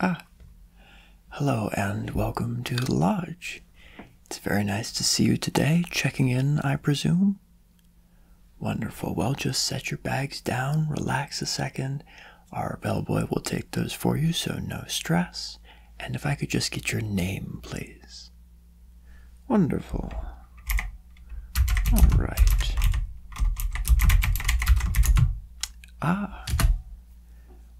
Ah, hello and welcome to the lodge. It's very nice to see you today. Checking in, I presume? Wonderful. Well, just set your bags down, relax a second. Our bellboy will take those for you, so no stress. And if I could just get your name, please. Wonderful. All right. Ah.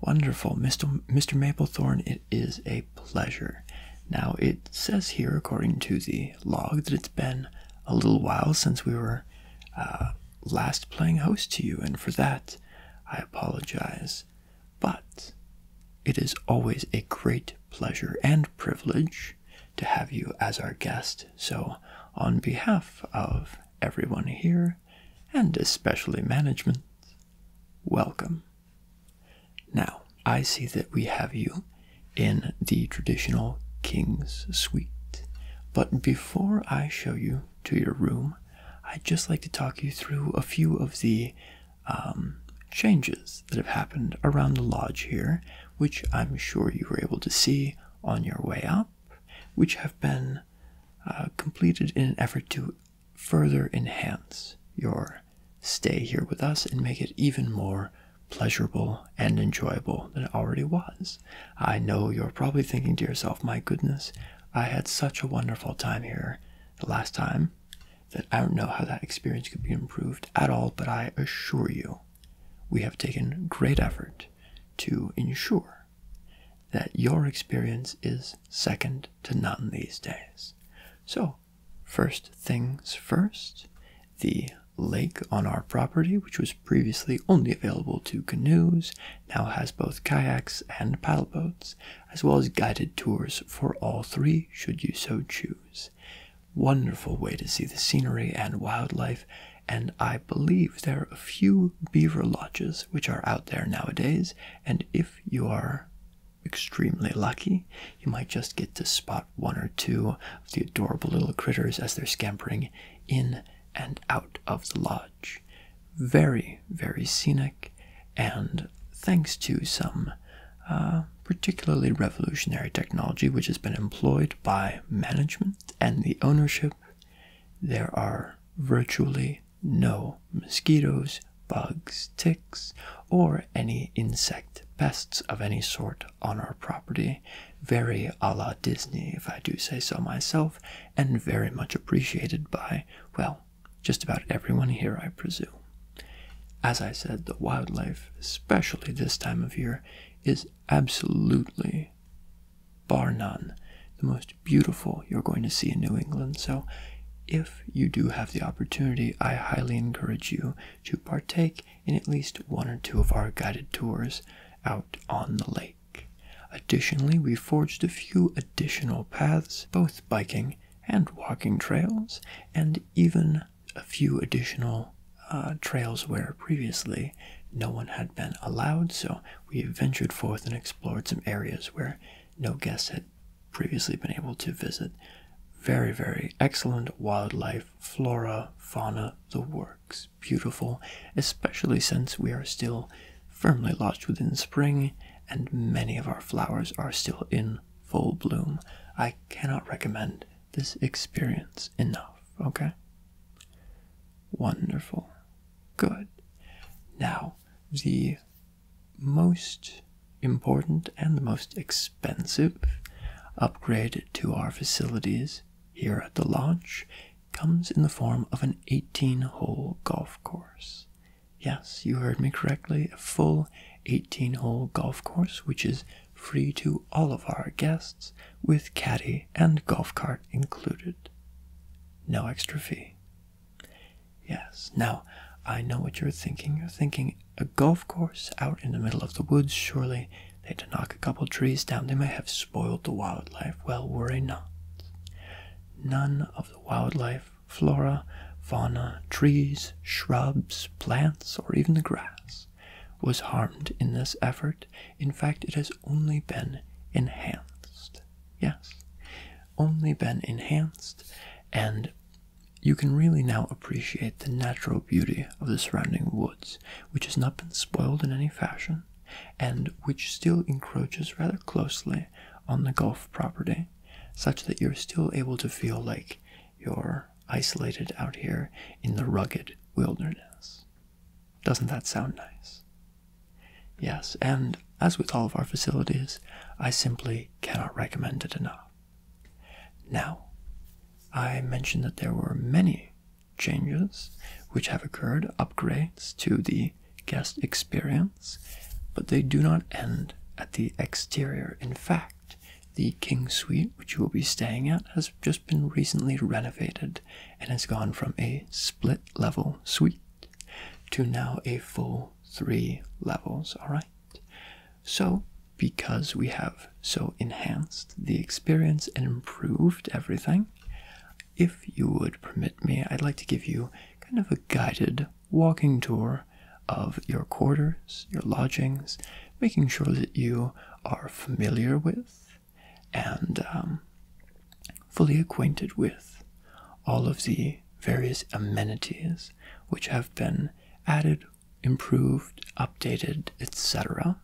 Wonderful. Mr. Mr. Maplethorne, it is a pleasure. Now, it says here, according to the log, that it's been a little while since we were uh, last playing host to you, and for that I apologize. But it is always a great pleasure and privilege to have you as our guest. So, on behalf of everyone here, and especially management, welcome. Now, I see that we have you in the traditional king's suite. But before I show you to your room, I'd just like to talk you through a few of the um, changes that have happened around the lodge here, which I'm sure you were able to see on your way up, which have been uh, completed in an effort to further enhance your stay here with us and make it even more pleasurable and enjoyable than it already was. I know you're probably thinking to yourself, my goodness, I had such a wonderful time here the last time that I don't know how that experience could be improved at all, but I assure you, we have taken great effort to ensure that your experience is second to none these days. So, first things first, the lake on our property, which was previously only available to canoes, now has both kayaks and paddle boats, as well as guided tours for all three, should you so choose. Wonderful way to see the scenery and wildlife, and I believe there are a few beaver lodges which are out there nowadays, and if you are extremely lucky, you might just get to spot one or two of the adorable little critters as they're scampering in and out of the lodge. Very, very scenic, and thanks to some uh, particularly revolutionary technology which has been employed by management and the ownership, there are virtually no mosquitoes, bugs, ticks, or any insect pests of any sort on our property, very a la Disney, if I do say so myself, and very much appreciated by, well, just about everyone here, I presume. As I said, the wildlife, especially this time of year, is absolutely, bar none, the most beautiful you're going to see in New England. So, if you do have the opportunity, I highly encourage you to partake in at least one or two of our guided tours out on the lake. Additionally, we forged a few additional paths, both biking and walking trails, and even a few additional uh, trails where previously no one had been allowed, so we ventured forth and explored some areas where no guests had previously been able to visit. Very, very excellent wildlife flora, fauna, the works. Beautiful, especially since we are still firmly lodged within spring and many of our flowers are still in full bloom. I cannot recommend this experience enough, okay? Wonderful. Good. Now, the most important and the most expensive upgrade to our facilities here at the lodge comes in the form of an 18 hole golf course. Yes, you heard me correctly, a full 18 hole golf course, which is free to all of our guests with caddy and golf cart included. No extra fee. Yes, now I know what you're thinking. You're thinking a golf course out in the middle of the woods. Surely they to knock a couple of trees down. They may have spoiled the wildlife. Well, worry not. None of the wildlife, flora, fauna, trees, shrubs, plants, or even the grass was harmed in this effort. In fact, it has only been enhanced. Yes, only been enhanced and you can really now appreciate the natural beauty of the surrounding woods, which has not been spoiled in any fashion, and which still encroaches rather closely on the golf property, such that you're still able to feel like you're isolated out here in the rugged wilderness. Doesn't that sound nice? Yes, and as with all of our facilities, I simply cannot recommend it enough. Now, I mentioned that there were many changes which have occurred, upgrades to the guest experience, but they do not end at the exterior. In fact, the King Suite, which you will be staying at, has just been recently renovated and has gone from a split level suite to now a full three levels. All right. So, because we have so enhanced the experience and improved everything, if you would permit me, I'd like to give you kind of a guided walking tour of your quarters, your lodgings, making sure that you are familiar with and um, fully acquainted with all of the various amenities which have been added improved, updated, etc.,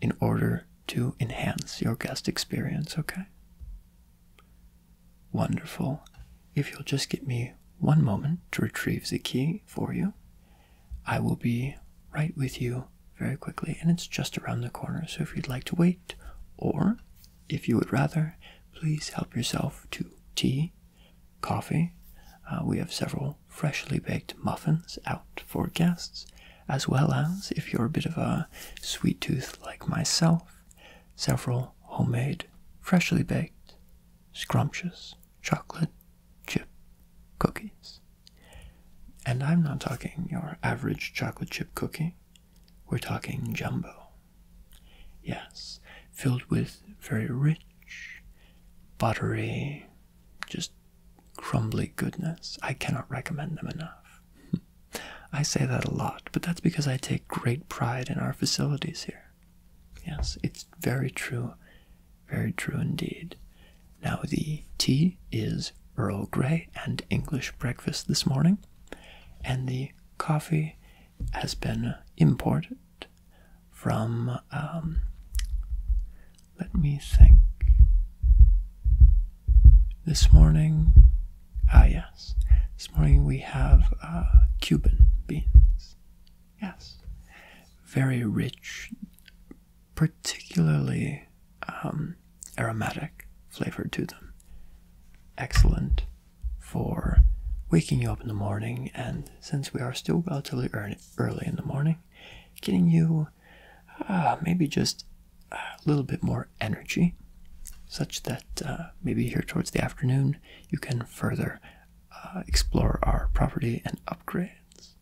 in order to enhance your guest experience, okay? Wonderful. If you'll just give me one moment to retrieve the key for you, I will be right with you very quickly, and it's just around the corner. So if you'd like to wait, or if you would rather, please help yourself to tea coffee. Uh, we have several freshly baked muffins out for guests, as well as, if you're a bit of a sweet tooth like myself, several homemade, freshly baked, scrumptious chocolate chip cookies. And I'm not talking your average chocolate chip cookie, we're talking jumbo Yes, filled with very rich, buttery, just crumbly goodness. I cannot recommend them enough. I say that a lot, but that's because I take great pride in our facilities here. Yes, it's very true, very true indeed. Now, the tea is Earl Grey and English breakfast this morning, and the coffee has been imported from, um, let me think, this morning, ah, yes, this morning we have uh, Cuban beans. Yes, very rich, particularly um, aromatic flavor to them. Excellent for waking you up in the morning, and since we are still relatively early in the morning, getting you uh, maybe just a little bit more energy, such that uh, maybe here towards the afternoon you can further uh, explore our property and upgrades.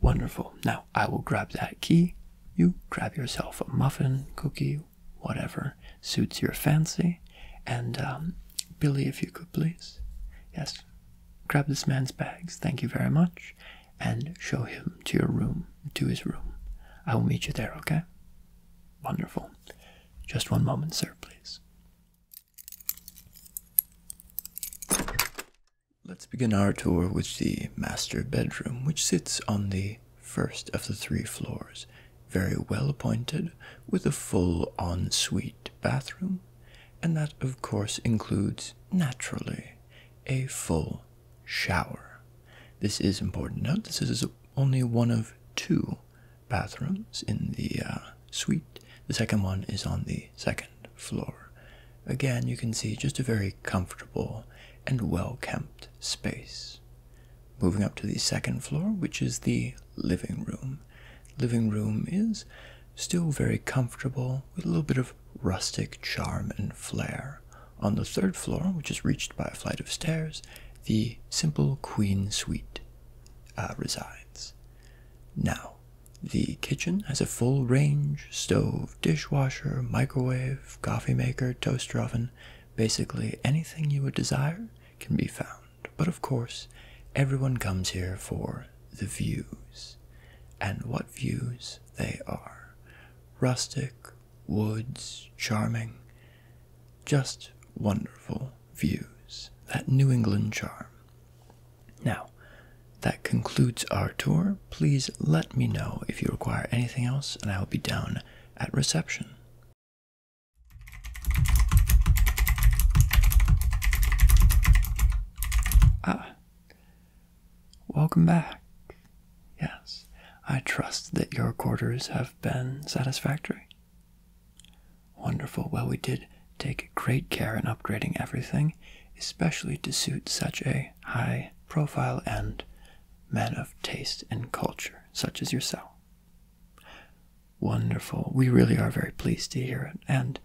Wonderful. Now I will grab that key. You grab yourself a muffin, cookie, whatever, suits your fancy. And um, Billy, if you could please, yes, grab this man's bags. Thank you very much, and show him to your room, to his room. I will meet you there. Okay. Wonderful. Just one moment, sir, please. Let's begin our tour with the master bedroom, which sits on the first of the three floors very well appointed, with a full ensuite bathroom, and that, of course, includes naturally a full shower. This is important. Note this is only one of two bathrooms in the uh, suite. The second one is on the second floor. Again, you can see just a very comfortable and well kept space. Moving up to the second floor, which is the living room. Living room is still very comfortable with a little bit of rustic charm and flair. On the third floor, which is reached by a flight of stairs, the simple queen suite uh, resides. Now, the kitchen has a full range stove, dishwasher, microwave, coffee maker, toaster oven. Basically, anything you would desire can be found but of course, everyone comes here for the views. And what views they are rustic, woods, charming, just wonderful views. That New England charm. Now, that concludes our tour. Please let me know if you require anything else, and I will be down at reception. Ah, welcome back. Yes, I trust that your quarters have been satisfactory. Wonderful. Well, we did take great care in upgrading everything, especially to suit such a high profile and man of taste and culture, such as yourself. Wonderful. We really are very pleased to hear it and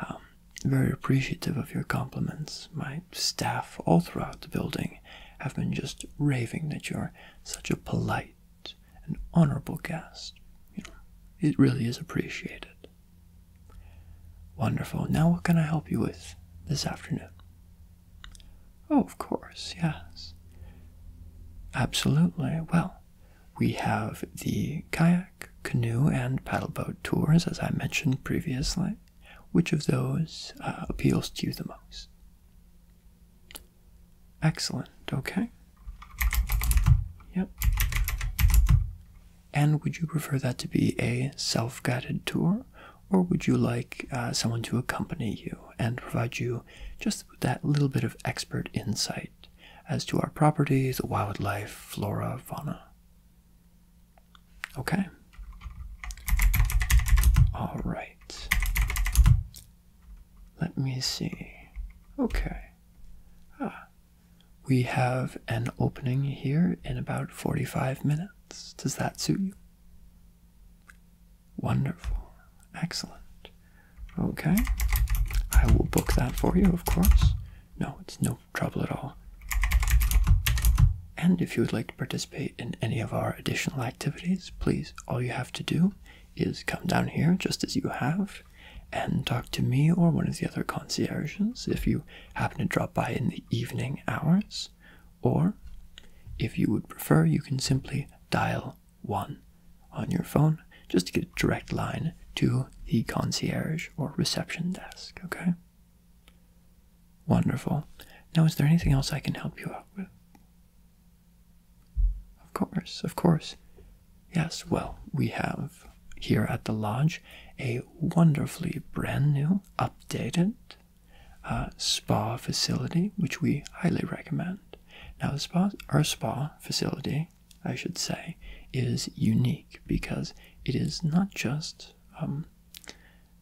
um, very appreciative of your compliments. My staff, all throughout the building, have been just raving that you're such a polite and honorable guest. You know, it really is appreciated. Wonderful. Now, what can I help you with this afternoon? Oh, of course, yes. Absolutely. Well, we have the kayak, canoe, and paddleboat tours, as I mentioned previously. Which of those uh, appeals to you the most? Excellent, okay. Yep. And would you prefer that to be a self guided tour, or would you like uh, someone to accompany you and provide you just that little bit of expert insight as to our properties, wildlife, flora, fauna. Okay? All right. Let me see. Okay. Ah. We have an opening here in about 45 minutes. Does that suit you? Wonderful. Excellent. Okay. I will book that for you, of course. No, it's no trouble at all. And if you would like to participate in any of our additional activities, please, all you have to do is come down here just as you have and talk to me or one of the other concierges if you happen to drop by in the evening hours. Or, if you would prefer, you can simply dial 1 on your phone just to get a direct line to the concierge or reception desk, okay? Wonderful. Now, is there anything else I can help you out with? Of course, of course. Yes, well, we have here at the lodge a wonderfully brand new, updated, uh, spa facility, which we highly recommend. Now, our spa facility, I should say, is unique because it is not just um,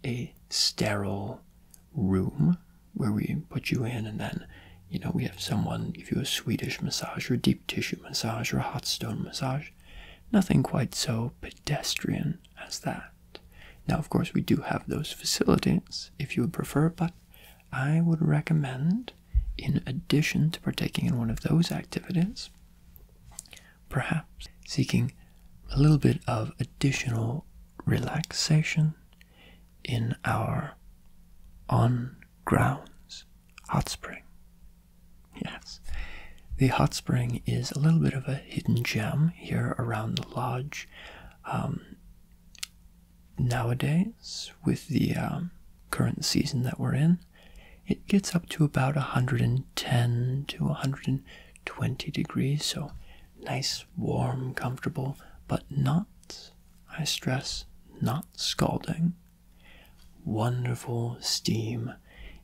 a sterile room where we put you in and then you know we have someone give you a swedish massage or deep tissue massage or hot stone massage nothing quite so pedestrian as that now, of course, we do have those facilities if you would prefer, but I would recommend, in addition to partaking in one of those activities, perhaps seeking a little bit of additional relaxation in our on grounds hot spring. Yes, the hot spring is a little bit of a hidden gem here around the lodge. Um, nowadays, with the um, current season that we're in, it gets up to about 110 to 120 degrees, so nice, warm, comfortable, but not, I stress, not scalding. Wonderful steam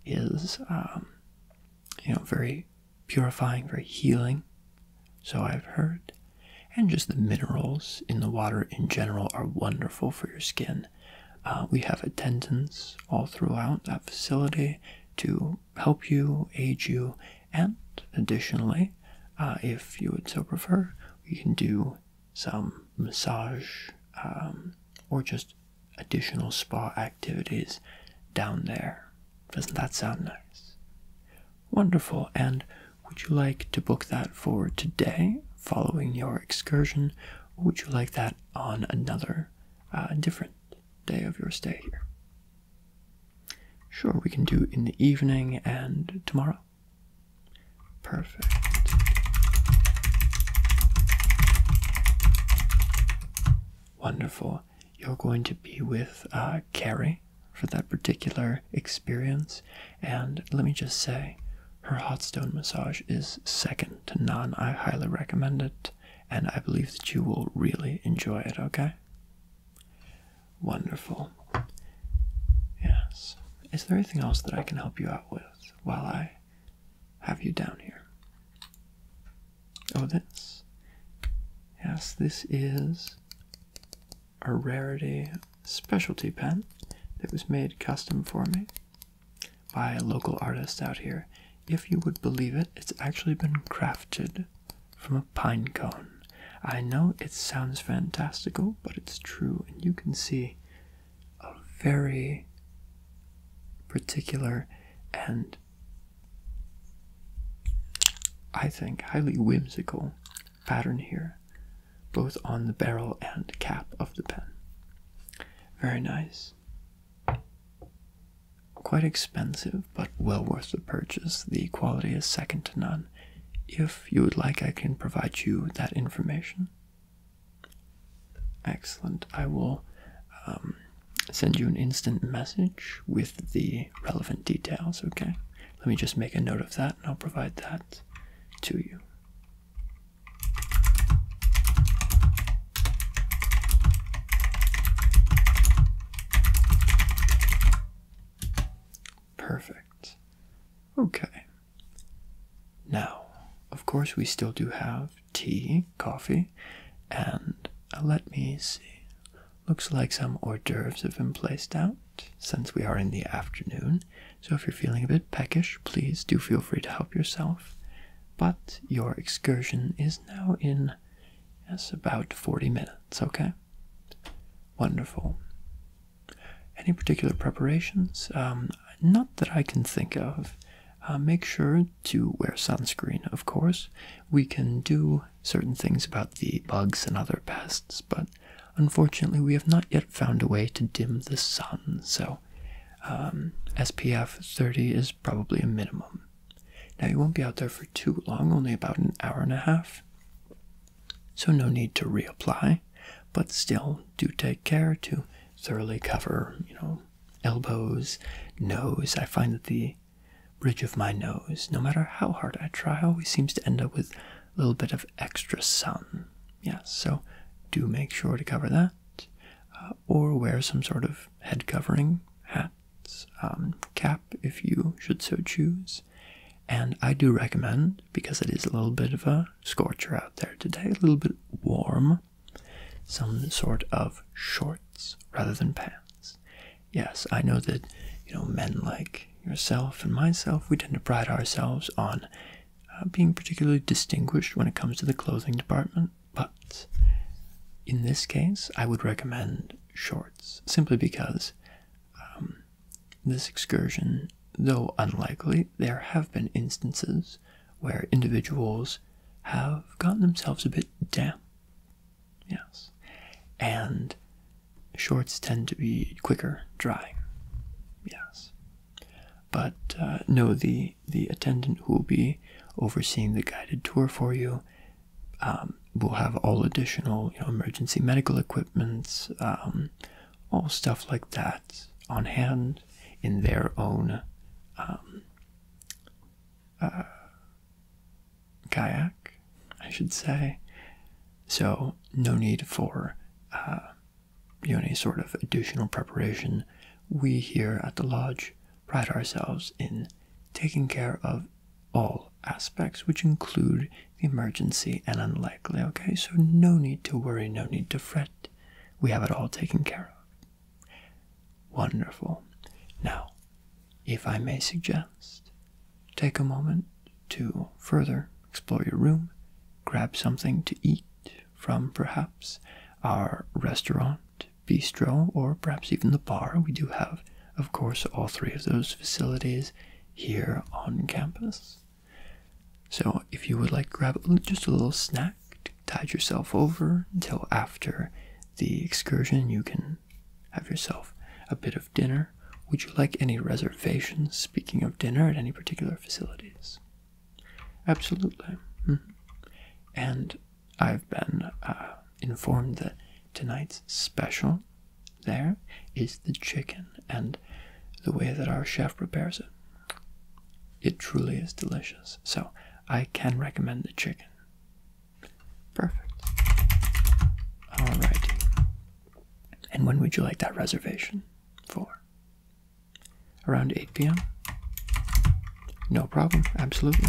is, um, you know, very purifying, for healing, so I've heard. And just the minerals in the water in general are wonderful for your skin. Uh, we have attendants all throughout that facility to help you, aid you, and additionally, uh, if you would so prefer, we can do some massage um, or just additional spa activities down there. Doesn't that sound nice? Wonderful. And would you like to book that for today following your excursion? Or would you like that on another uh, different day of your stay here? Sure, we can do in the evening and tomorrow. Perfect. Wonderful you're going to be with uh, Carrie for that particular experience. And let me just say, her hot stone massage is second to none. I highly recommend it, and I believe that you will really enjoy it, okay? Wonderful. Yes. Is there anything else that I can help you out with while I have you down here? Oh, this. Yes, this is a rarity specialty pen that was made custom for me by a local artist out here. If you would believe it, it's actually been crafted from a pine cone. I know it sounds fantastical, but it's true, and you can see a very particular and I think, highly whimsical pattern here, both on the barrel and cap of the pen. Very nice. Quite expensive, but well worth the purchase. The quality is second to none. If you would like, I can provide you that information. Excellent. I will um, send you an instant message with the relevant details, okay? Let me just make a note of that and I'll provide that to you. Perfect. Okay. Now, of course, we still do have tea, coffee, and uh, let me see. Looks like some hors d'oeuvres have been placed out since we are in the afternoon. So if you're feeling a bit peckish, please do feel free to help yourself. But your excursion is now in, yes, about 40 minutes, okay? Wonderful. Any particular preparations? Um, not that I can think of. Uh, make sure to wear sunscreen, of course. We can do certain things about the bugs and other pests, but unfortunately, we have not yet found a way to dim the sun, so um, SPF 30 is probably a minimum. Now, you won't be out there for too long, only about an hour and a half, so no need to reapply, but still do take care to thoroughly cover, you know, elbows, nose. I find that the bridge of my nose, no matter how hard I try, always seems to end up with a little bit of extra sun. Yes, yeah, so do make sure to cover that. Uh, or wear some sort of head covering, hats, um, cap if you should so choose. And I do recommend, because it is a little bit of a scorcher out there today, a little bit warm, some sort of shorts rather than pants. Yes, I know that, you know, men like yourself and myself, we tend to pride ourselves on uh, being particularly distinguished when it comes to the clothing department, but in this case, I would recommend shorts simply because um, this excursion, though unlikely, there have been instances where individuals have gotten themselves a bit damp. Yes. And shorts tend to be quicker drying. Yes. But uh, no, the, the attendant who will be overseeing the guided tour for you um, will have all additional emergency medical equipment, um, all stuff like that on hand in their own um, uh, kayak, I should say. So, no need for uh, any sort of additional preparation. We here at the lodge pride ourselves in taking care of all aspects, which include the emergency and unlikely. Okay, so no need to worry, no need to fret. We have it all taken care of. Wonderful. Now, if I may suggest, take a moment to further explore your room, grab something to eat from perhaps our restaurant, bistro, or perhaps even the bar. We do have, of course, all three of those facilities here on campus. So, if you would like, grab just a little snack tide yourself over until after the excursion you can have yourself a bit of dinner would you like any reservations speaking of dinner at any particular facilities absolutely mm-hmm. and i've been uh, informed that tonight's special there is the chicken and the way that our chef prepares it it truly is delicious. So I can recommend the chicken. Perfect. Alrighty. And when would you like that reservation for? Around 8 p.m.? No problem, absolutely.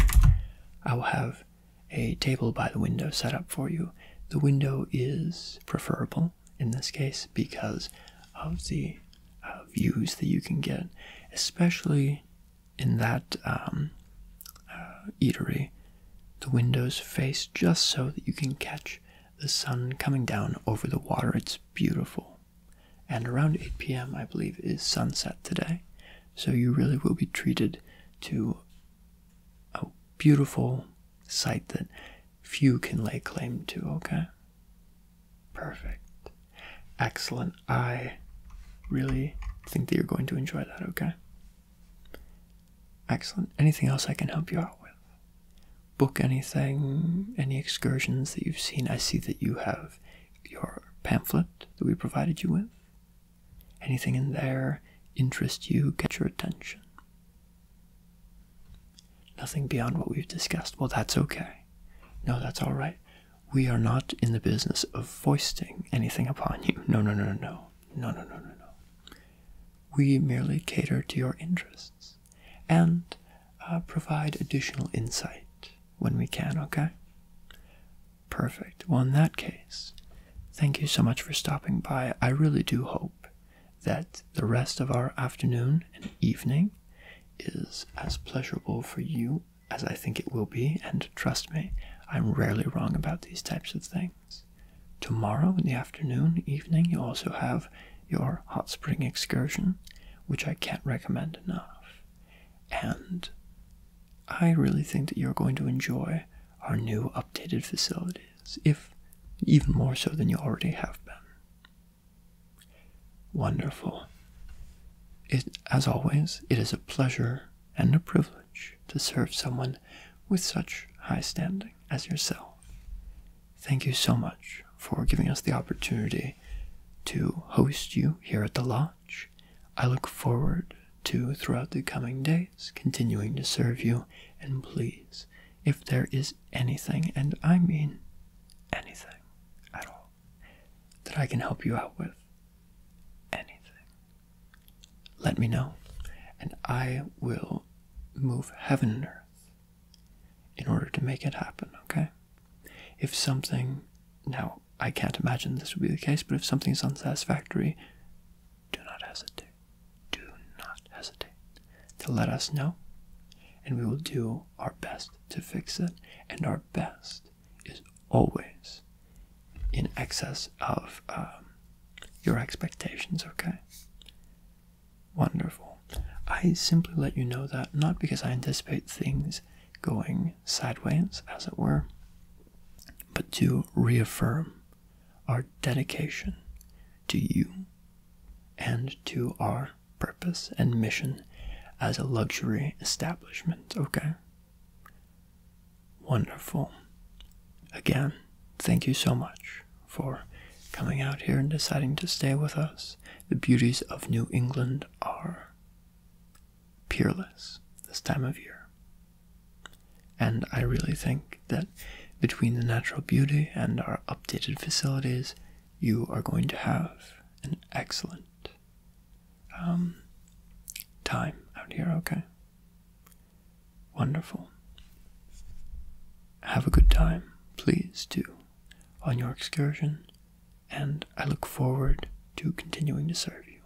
I will have a table by the window set up for you. The window is preferable in this case because of the uh, views that you can get, especially in that um, uh, eatery. The windows face just so that you can catch the sun coming down over the water. It's beautiful. And around 8 p.m., I believe, is sunset today. So you really will be treated to a beautiful sight that few can lay claim to, okay? Perfect. Excellent. I really think that you're going to enjoy that, okay? Excellent. Anything else I can help you out with? Book anything, any excursions that you've seen? I see that you have your pamphlet that we provided you with. Anything in there interest you, catch your attention? Nothing beyond what we've discussed. Well, that's okay. No, that's all right. We are not in the business of foisting anything upon you. No, no, no, no, no. No, no, no, no, no. We merely cater to your interests and uh, provide additional insight when we can, okay? Perfect. Well, in that case, thank you so much for stopping by. I really do hope that the rest of our afternoon and evening is as pleasurable for you as I think it will be, and trust me, I'm rarely wrong about these types of things. Tomorrow in the afternoon, evening, you also have your hot spring excursion, which I can't recommend enough. And I really think that you're going to enjoy our new updated facilities, if even more so than you already have been. Wonderful. It, as always, it is a pleasure and a privilege to serve someone with such high standing as yourself. Thank you so much for giving us the opportunity to host you here at the Lodge. I look forward to, throughout the coming days, continuing to serve you, and please, if there is anything, and I mean anything at all, that I can help you out with, anything, let me know, and I will move heaven and earth in order to make it happen, okay? If something, now I can't imagine this would be the case, but if something is unsatisfactory, do not hesitate. Do not hesitate to let us know, and we will do our best to fix it. And our best is always in excess of um, your expectations, okay? Wonderful. I simply let you know that not because I anticipate things going sideways, as it were, but to reaffirm our dedication to you and to our purpose and mission as a luxury establishment. Okay. Wonderful. Again, thank you so much for coming out here and deciding to stay with us. The beauties of New England are peerless this time of year. And I really think that between the natural beauty and our updated facilities, you are going to have an excellent um, time out here, okay? Wonderful. Have a good time, please do, on your excursion, and I look forward to continuing to serve you.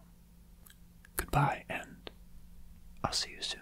Goodbye, and I'll see you soon.